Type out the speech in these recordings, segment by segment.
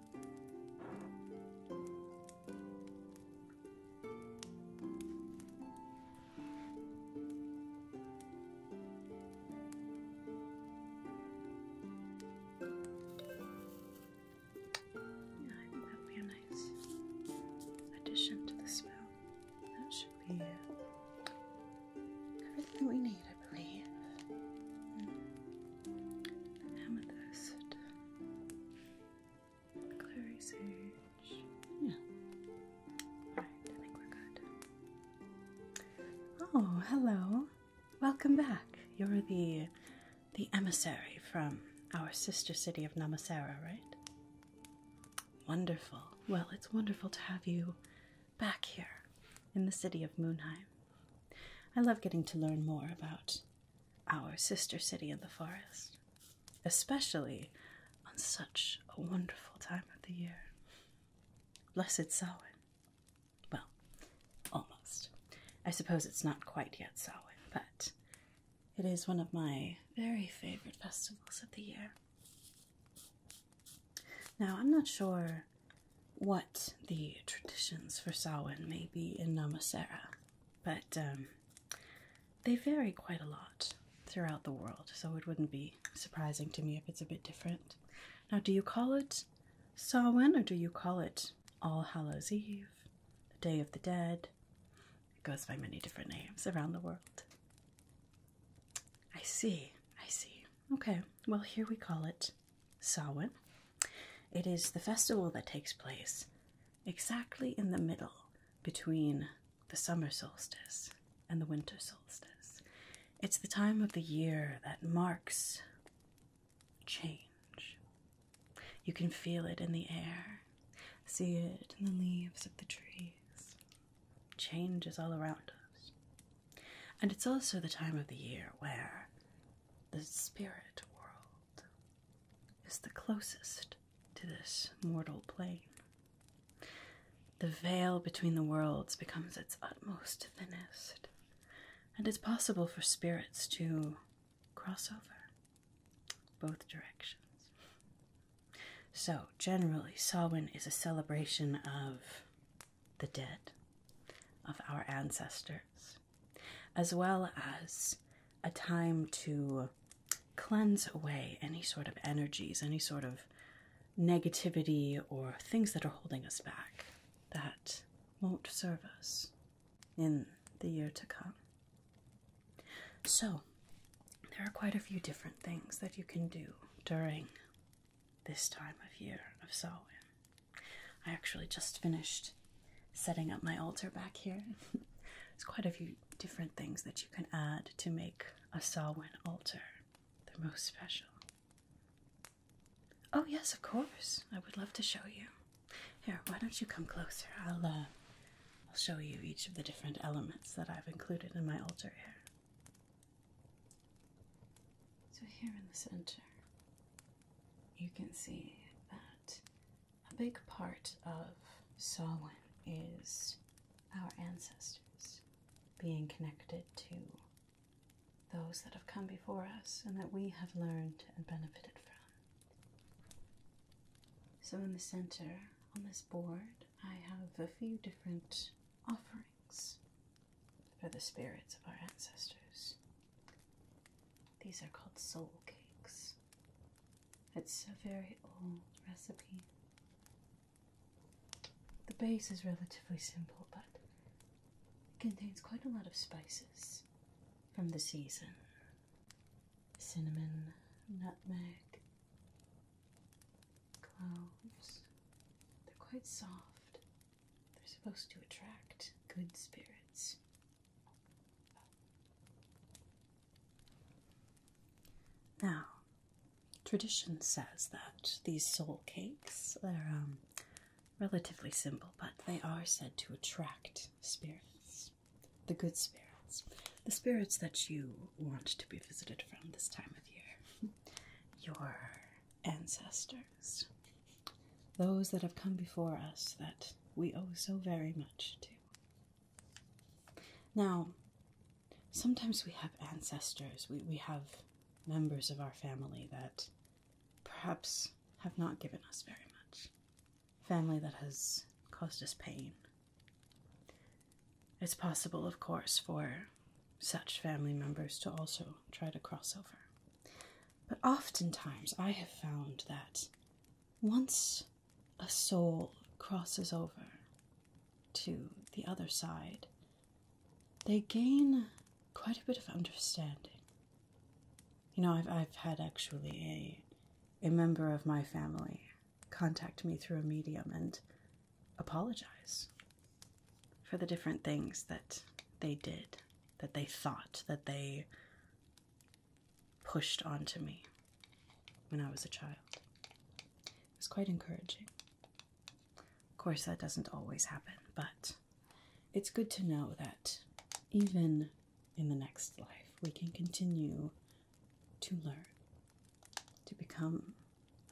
I think that'll be a nice addition to the spell. That should be everything we need, Mm. Oh, hello. Welcome back. You're the the emissary from our sister city of Namasera, right? Wonderful. Well, it's wonderful to have you back here in the city of Moonheim. I love getting to learn more about our sister city in the forest, especially on such a wonderful time of the year. Blessed Samhain. Well, almost. I suppose it's not quite yet Samhain, but it is one of my very favorite festivals of the year. Now, I'm not sure what the traditions for Samhain may be in Namasera, but um, they vary quite a lot throughout the world, so it wouldn't be surprising to me if it's a bit different. Now, do you call it Samhain or do you call it All Hallows Eve, the Day of the Dead? It goes by many different names around the world. I see, I see. Okay, well, here we call it Samhain. It is the festival that takes place exactly in the middle between the summer solstice and the winter solstice. It's the time of the year that marks change. You can feel it in the air, see it in the leaves of the trees. Change is all around us. And it's also the time of the year where the spirit world is the closest to this mortal plane. The veil between the worlds becomes its utmost thinnest, and it's possible for spirits to cross over both directions. So, generally, Samhain is a celebration of the dead of our ancestors, as well as a time to cleanse away any sort of energies, any sort of negativity or things that are holding us back that won't serve us in the year to come. So, there are quite a few different things that you can do during this time of year of Samhain. I actually just finished setting up my altar back here. There's quite a few different things that you can add to make a Samhain altar the most special. Oh yes, of course. I would love to show you. Here, why don't you come closer? I'll uh, I'll show you each of the different elements that I've included in my altar here. So, here in the center, you can see that a big part of Solan is our ancestors being connected to those that have come before us and that we have learned and benefited from. So, in the center on this board, I have a few different offerings offerings for the spirits of our ancestors. These are called soul cakes. It's a very old recipe. The base is relatively simple, but it contains quite a lot of spices from the season cinnamon, nutmeg, cloves. They're quite soft they're supposed to attract good spirits. Now, tradition says that these soul cakes, they're um, relatively simple, but they are said to attract spirits, the good spirits, the spirits that you want to be visited from this time of year. Your ancestors, those that have come before us that we owe so very much to. Now, sometimes we have ancestors, we, we have members of our family that perhaps have not given us very much, family that has caused us pain. It's possible, of course, for such family members to also try to cross over. But oftentimes I have found that once a soul crosses over to the other side, they gain quite a bit of understanding. You know, I've, I've had actually a, a member of my family contact me through a medium and apologize for the different things that they did, that they thought, that they pushed onto me when I was a child. It was quite encouraging. Of course, that doesn't always happen, but it's good to know that even in the next life, we can continue to learn, to become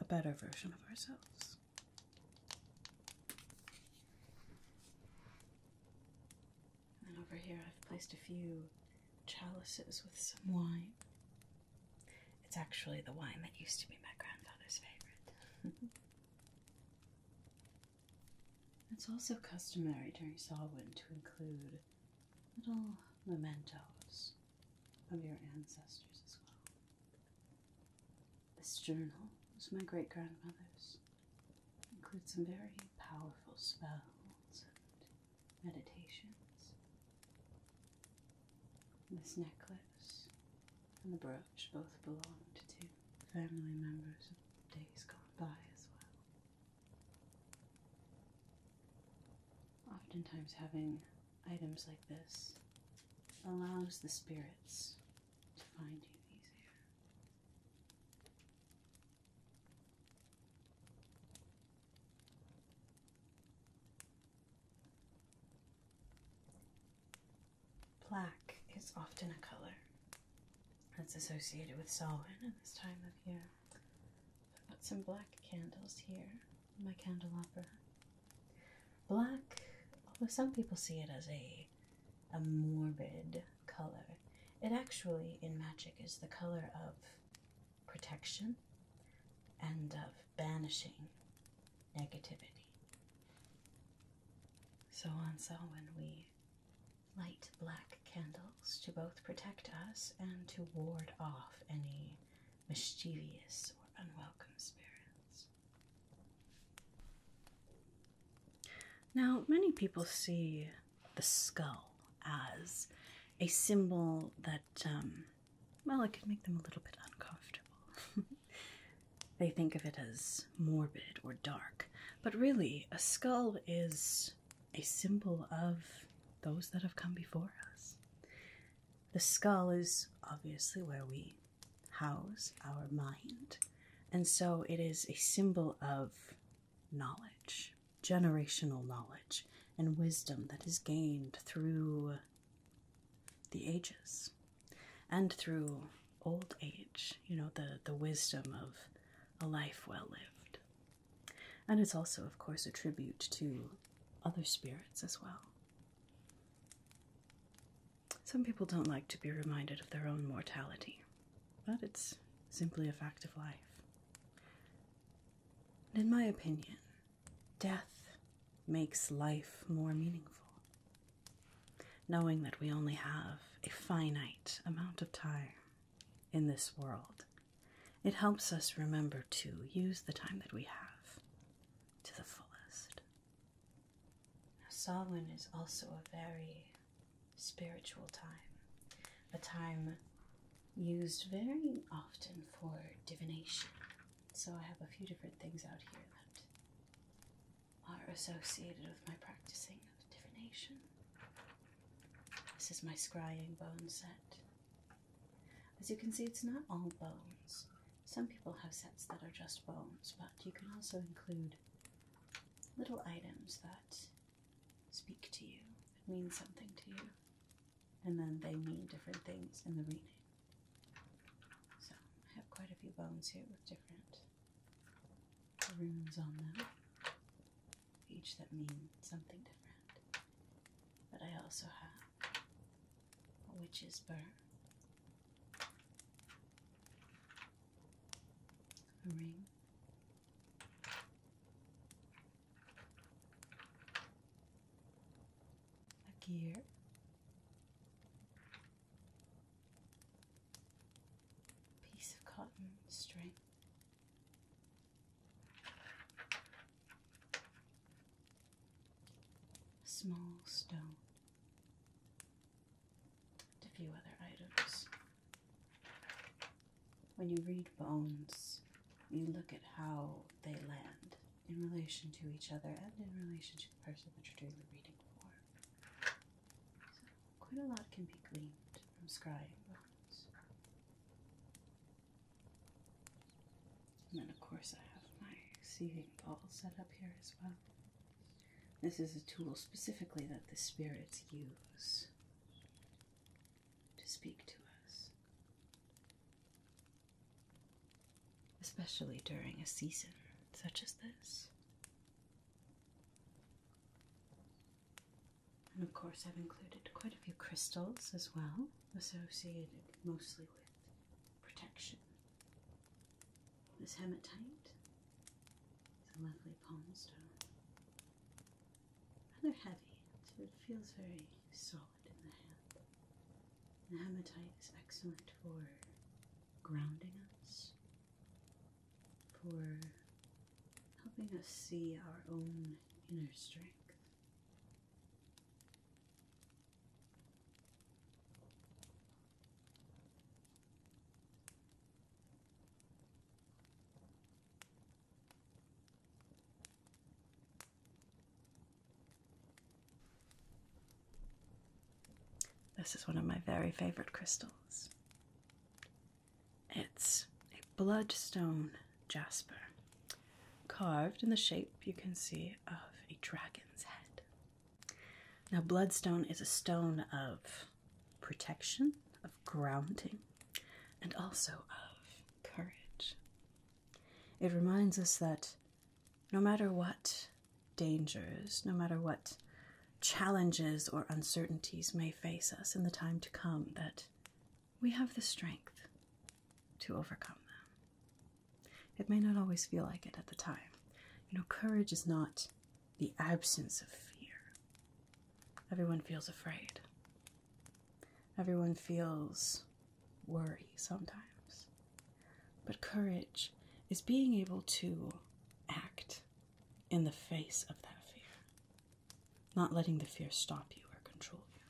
a better version of ourselves. And then over here, I've placed a few chalices with some wine. It's actually the wine that used to be my grandfather's favorite. it's also customary during Samhain to include little mementos of your ancestors as well. This journal was my great grandmother's. Includes some very powerful spells and meditations. This necklace and the brooch both belonged to family members of days gone by as well. Oftentimes, having items like this allows the spirits to find you easier. Black is often a color that's associated with Samhain in this time of year. I've got some black candles here my candelabra. Black, although some people see it as a a morbid color, it actually in magic is the color of protection and of banishing negativity. So on so when we light black candles to both protect us and to ward off any mischievous or unwelcome spirits. Now, many people see the skull as a symbol that, um, well, it could make them a little bit uncomfortable. they think of it as morbid or dark, but really, a skull is a symbol of those that have come before us. The skull is obviously where we house our mind, and so it is a symbol of knowledge, generational knowledge, and wisdom that is gained through the ages and through old age, you know, the, the wisdom of a life well lived. And it's also, of course, a tribute to other spirits as well some people don't like to be reminded of their own mortality, but it's simply a fact of life. in my opinion, death makes life more meaningful. Knowing that we only have a finite amount of time in this world, it helps us remember to use the time that we have to the fullest. Now, solan is also a very spiritual time, a time used very often for divination. So, I have a few different things out here that are associated with my practicing of divination. This is my scrying bone set. As you can see, it's not all bones. Some people have sets that are just bones, but you can also include little items that speak to you, mean something to you, and then they mean different things in the reading. So I have quite a few bones here with different runes on them, each that mean something different. But I also have which is burr, a ring, a gear. Piece of cotton string, a small stone, a few other items. When you read bones, you look at how they land in relation to each other and in relation to the person that you're doing the reading for. quite a lot can be gleaned from scrying bones. And then, of course, I have my seething ball set up here as well. This is a tool specifically that the spirits use to speak to us, especially during a season such as this. And of course, I've included quite a few crystals as well associated mostly with protection. This hematite is a lovely palm stone. Rather heavy, so it feels very solid in the hand. The hematite is excellent for grounding us, for helping us see our own inner strength. This is one of my very favorite crystals. It's bloodstone jasper, carved in the shape you can see of a dragon's head. Now, bloodstone is a stone of protection, of grounding, and also of courage. It reminds us that no matter what dangers, no matter what challenges or uncertainties may face us in the time to come, that we have the strength to overcome them. It may not always feel like it at the time. You know, courage is not the absence of fear. Everyone feels afraid, everyone feels worry sometimes. But courage is being able to act in the face of that fear, not letting the fear stop you or control you.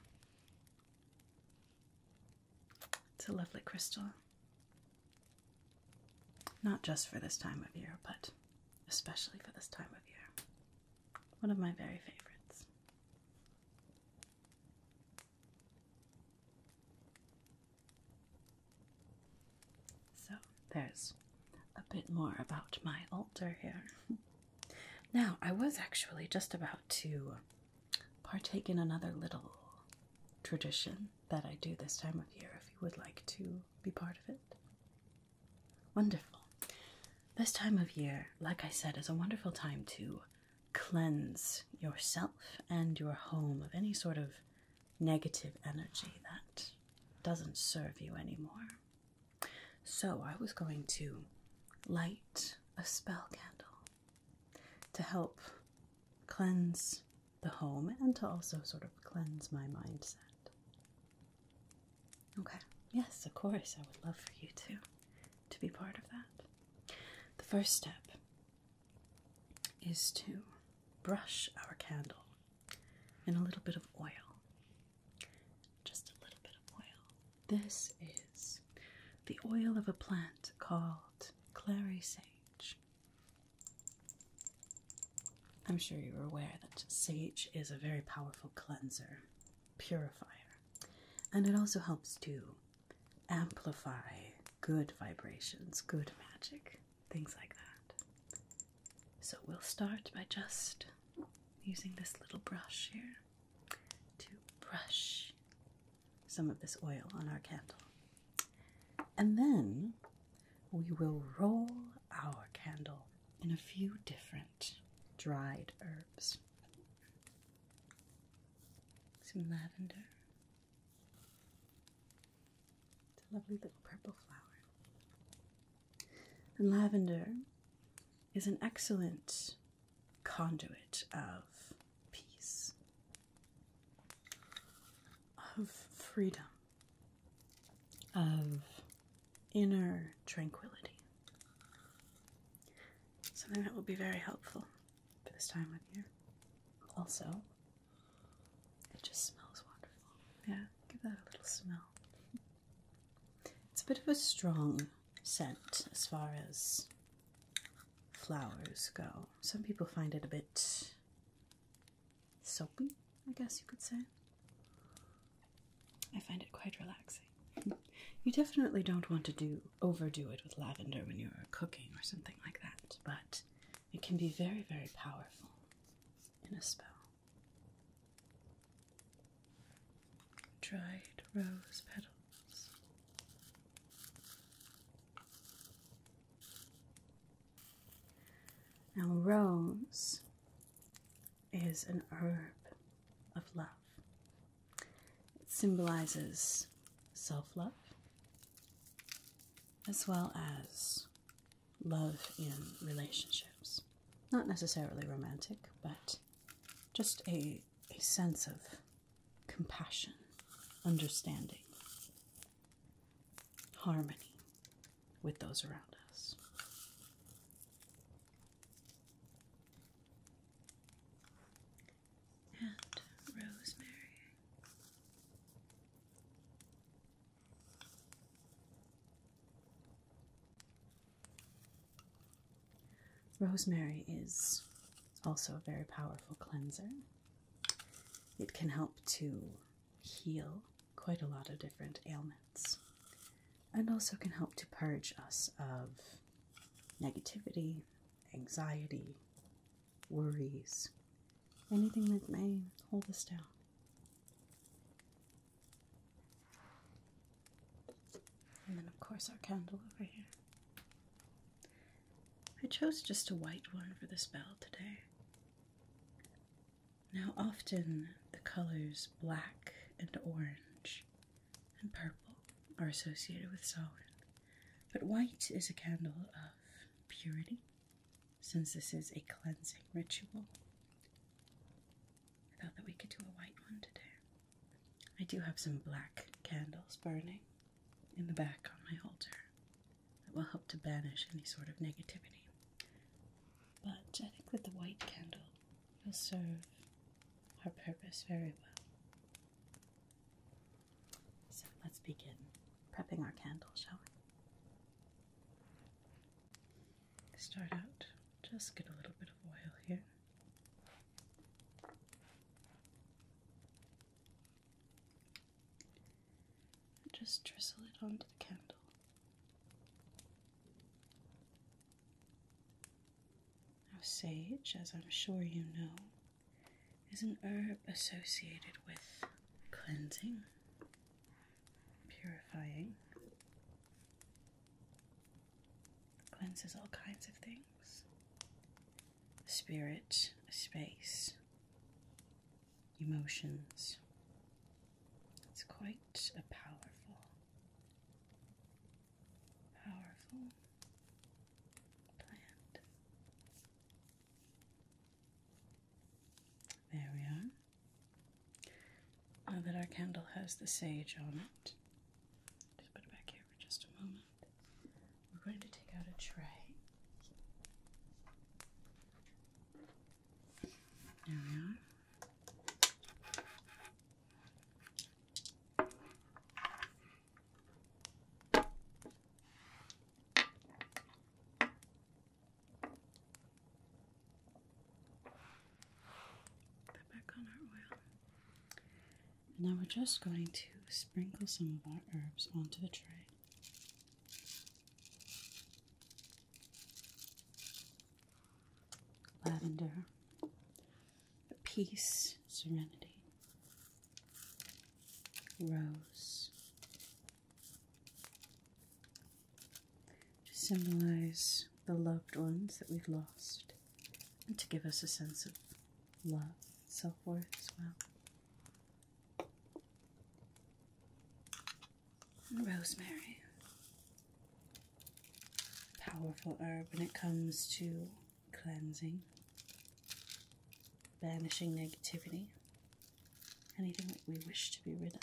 It's a lovely crystal. Not just for this time of year, but especially for this time of year. One of my very favorites. So, there's a bit more about my altar here. Now, I was actually just about to partake in another little tradition that I do this time of year if you would like to be part of it. Wonderful. This time of year, like I said, is a wonderful time to cleanse yourself and your home of any sort of negative energy that doesn't serve you anymore. So I was going to light a spell candle to help cleanse the home and to also sort of cleanse my mindset. Okay. Yes, of course. I would love for you to to be part of that. The first step is to brush our candle in a little bit of oil. Just a little bit of oil. This is the oil of a plant called clary sage. I'm sure you're aware that sage is a very powerful cleanser, purifier, and it also helps to amplify good vibrations, good magic, things like that. So we'll start by just using this little brush here to brush some of this oil on our candle. And then we will roll our candle in a few different dried herbs. Some lavender. It's a lovely little purple flower lavender is an excellent conduit of peace, of freedom, of inner tranquility. Something that will be very helpful for this time of year. Also, it just smells wonderful. Yeah, give that a little smell. It's a bit of a strong scent as far as flowers go. Some people find it a bit soapy, I guess you could say. I find it quite relaxing. You definitely don't want to do overdo it with lavender when you're cooking or something like that, but it can be very, very powerful in a spell dried rose petals. Now, rose is an herb of love. It symbolizes self love as well as love in relationships. Not necessarily romantic, but just a, a sense of compassion, understanding, harmony with those around us. And rosemary. Rosemary is also a very powerful cleanser. It can help to heal quite a lot of different ailments and also can help to purge us of negativity, anxiety, worries, anything that may hold us down. And then, of course, our candle over here. I chose just a white one for the spell today. Now, often the colors black and orange and purple are associated with Samhain, but white is a candle of purity since this is a cleansing ritual. I thought that we could do a white one today. I do have some black candles burning in the back on my altar that will help to banish any sort of negativity. But I think with the white candle, will serve our purpose very well. So let's begin prepping our candle, shall we? start out, just get a little bit of oil here. just drizzle it onto the candle. Now, sage, as I'm sure you know, is an herb associated with cleansing purifying, cleanses all kinds of things. Spirit, space, emotions. It's quite a powerful, powerful plant. There we are. Now that our candle has the sage on it. Just put it back here for just a moment. We're going to take out a tray. There we are. Put back on our oil. And now we're just going to sprinkle some of our herbs onto the tray. Lavender, peace, serenity, rose, to symbolize the loved ones that we've lost and to give us a sense of love self worth as well. rosemary, powerful herb when it comes to cleansing, banishing negativity, anything that we wish to be rid of.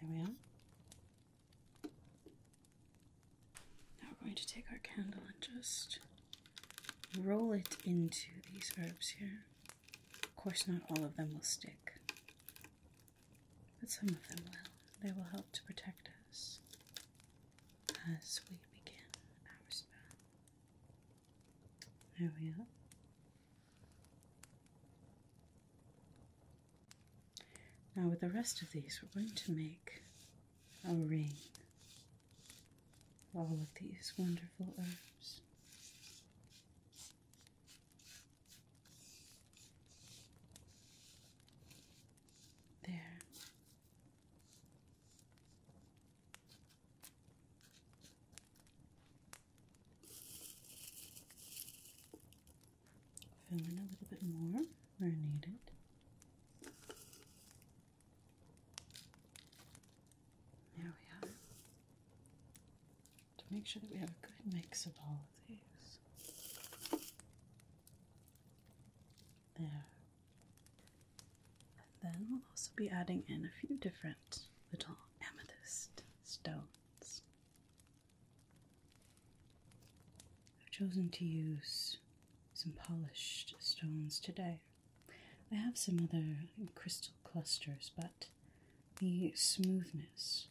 There we are. Now we're going to take our candle and just roll it into these herbs here. Of course, not all of them will stick, but some of them will. They will help to protect us as we begin our spell. There we are. Now, with the rest of these, we're going to make a ring all of these wonderful herbs. There. Fill in a little bit more where needed. There we are. To make sure that we have a good mix of all of these. There. And then we'll also be adding in a few different little amethyst stones. I've chosen to use some polished stones today. I have some other crystal clusters, but the smoothness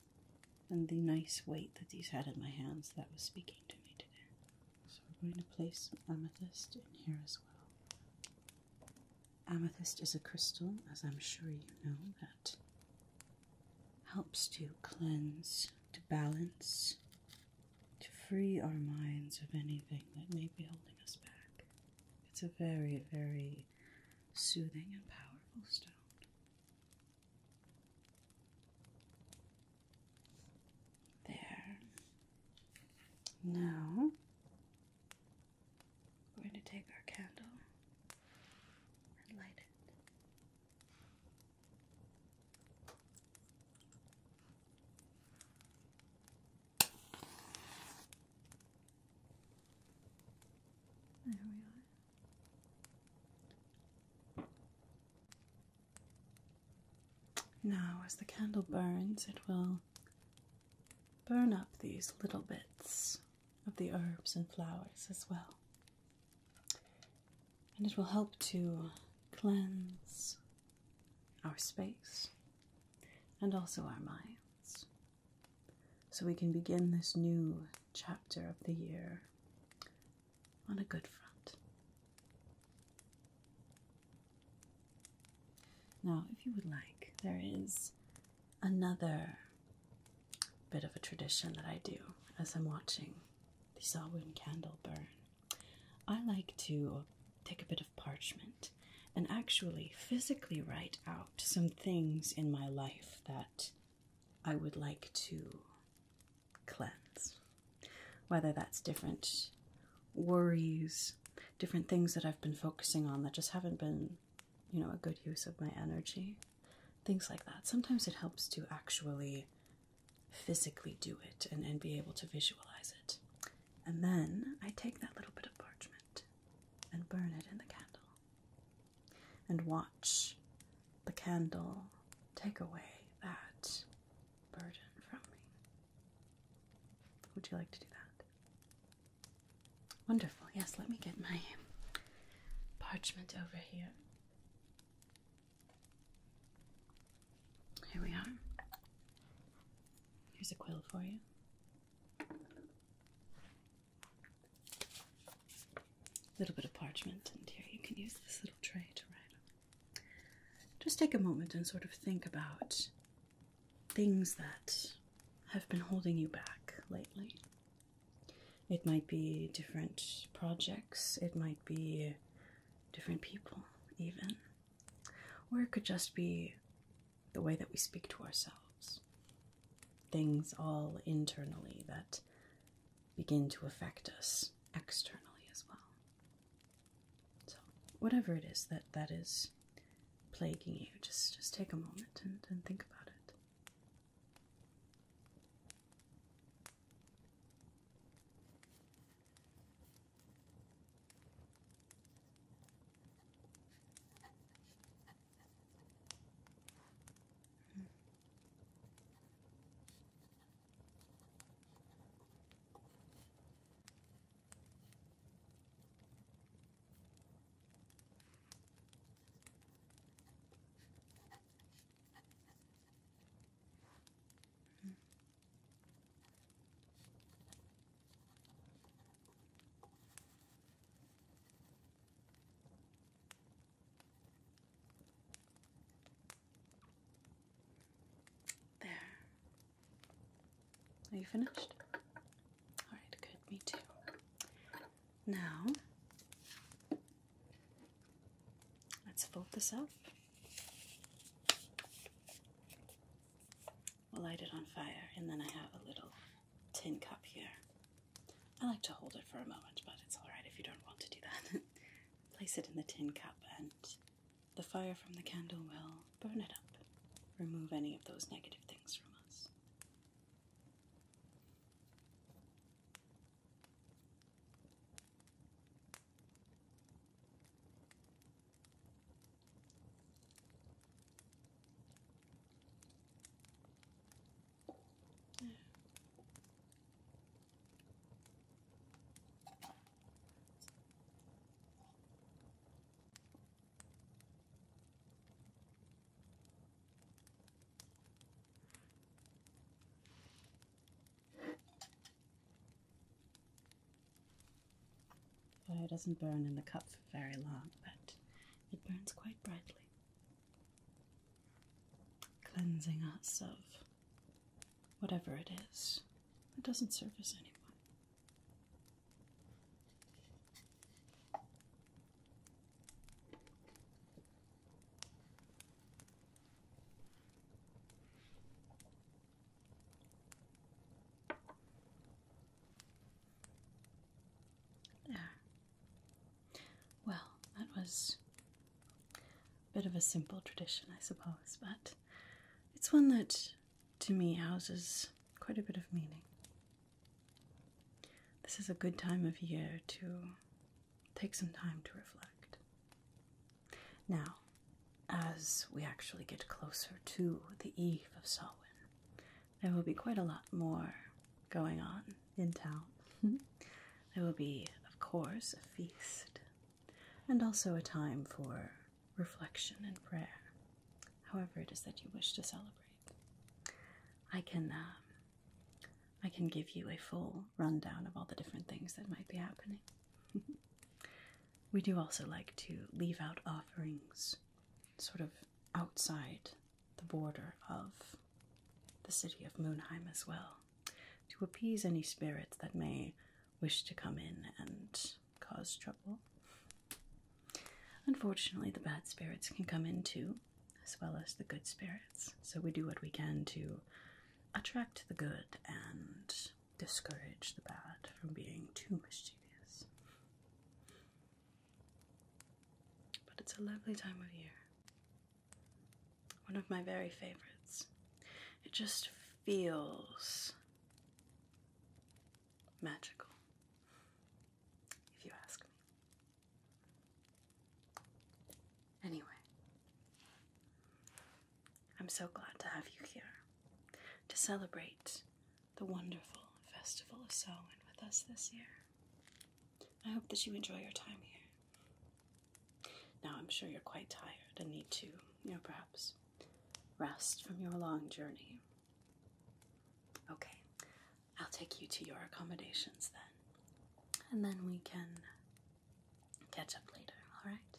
and the nice weight that these had in my hands that was speaking to me today. So we're going to place some amethyst in here as well. Amethyst is a crystal, as I'm sure you know, that helps to cleanse, to balance, to free our minds of anything that may be holding us back. It's a very, very soothing and powerful stone. There. Now we're going to take our candle and light it. There we are. Now, as the candle burns, it will burn up these little bits of the herbs and flowers as well. And it will help to cleanse our space and also our minds. So we can begin this new chapter of the year on a good front. Now, if you would like, there is another bit of a tradition that I do as I'm watching the Samhain candle burn. I like to take a bit of parchment and actually physically write out some things in my life that I would like to cleanse. Whether that's different worries, different things that I've been focusing on that just haven't been, you know, a good use of my energy, things like that. Sometimes it helps to actually physically do it and, and be able to visualize it. And then I take that little bit of parchment and burn it in the candle and watch the candle take away that burden from me. Would you like to do that? Wonderful. Yes, let me get my parchment over here. Here we are. Here's a quill for you. A little bit of parchment, and here you can use this little tray to write on. Just take a moment and sort of think about things that have been holding you back lately. It might be different projects, it might be different people, even. Or it could just be the way that we speak to ourselves. Things all internally that begin to affect us externally as well. So whatever it is that that is plaguing you, just just take a moment and, and think about it. Mm. There, are you finished? Alright, good, me too. Now, let's fold this up. We'll light it on fire, and then I have a little tin cup here. I like to hold it for a moment, but it's alright if you don't want to do that. Place it in the tin cup and the fire from the candle will burn it up, remove any of those negative things from us. Fire doesn't burn in the cup for very long, but it burns quite brightly, cleansing us of whatever it is that doesn't serve us anymore. There. Well, that was a bit of a simple tradition, I suppose, but it's one that to me houses quite a bit of meaning. This is a good time of year to take some time to reflect. Now, as we actually get closer to the eve of Samhain, there will be quite a lot more going on in town. there will be, of course, a feast, and also a time for reflection, and prayer, however it is that you wish to celebrate. I can, um, I can give you a full rundown of all the different things that might be happening. we do also like to leave out offerings, sort of outside the border of the city of Moonheim as well, to appease any spirits that may wish to come in and cause trouble. Unfortunately, the bad spirits can come in too, as well as the good spirits, so we do what we can to attract the good and discourage the bad from being too mischievous. But it's a lovely time of year. One of my very favorites. It just feels magical, if you ask me. Anyway, I'm so glad to have you here to celebrate the wonderful Festival of Samhain with us this year. I hope that you enjoy your time here. Now, I'm sure you're quite tired and need to, you know, perhaps rest from your long journey. Okay, I'll take you to your accommodations then, and then we can catch up later, all right?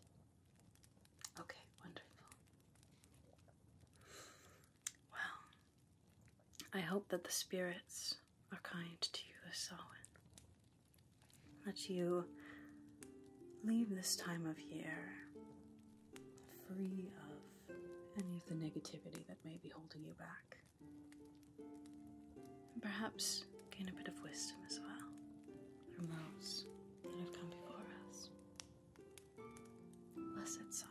Okay, wonderful. Well, I hope that the spirits are kind to you this Samhain that you leave this time of year free of any of the negativity that may be holding you back. And perhaps gain a bit of wisdom as well from those that have come before us. Blessed soul.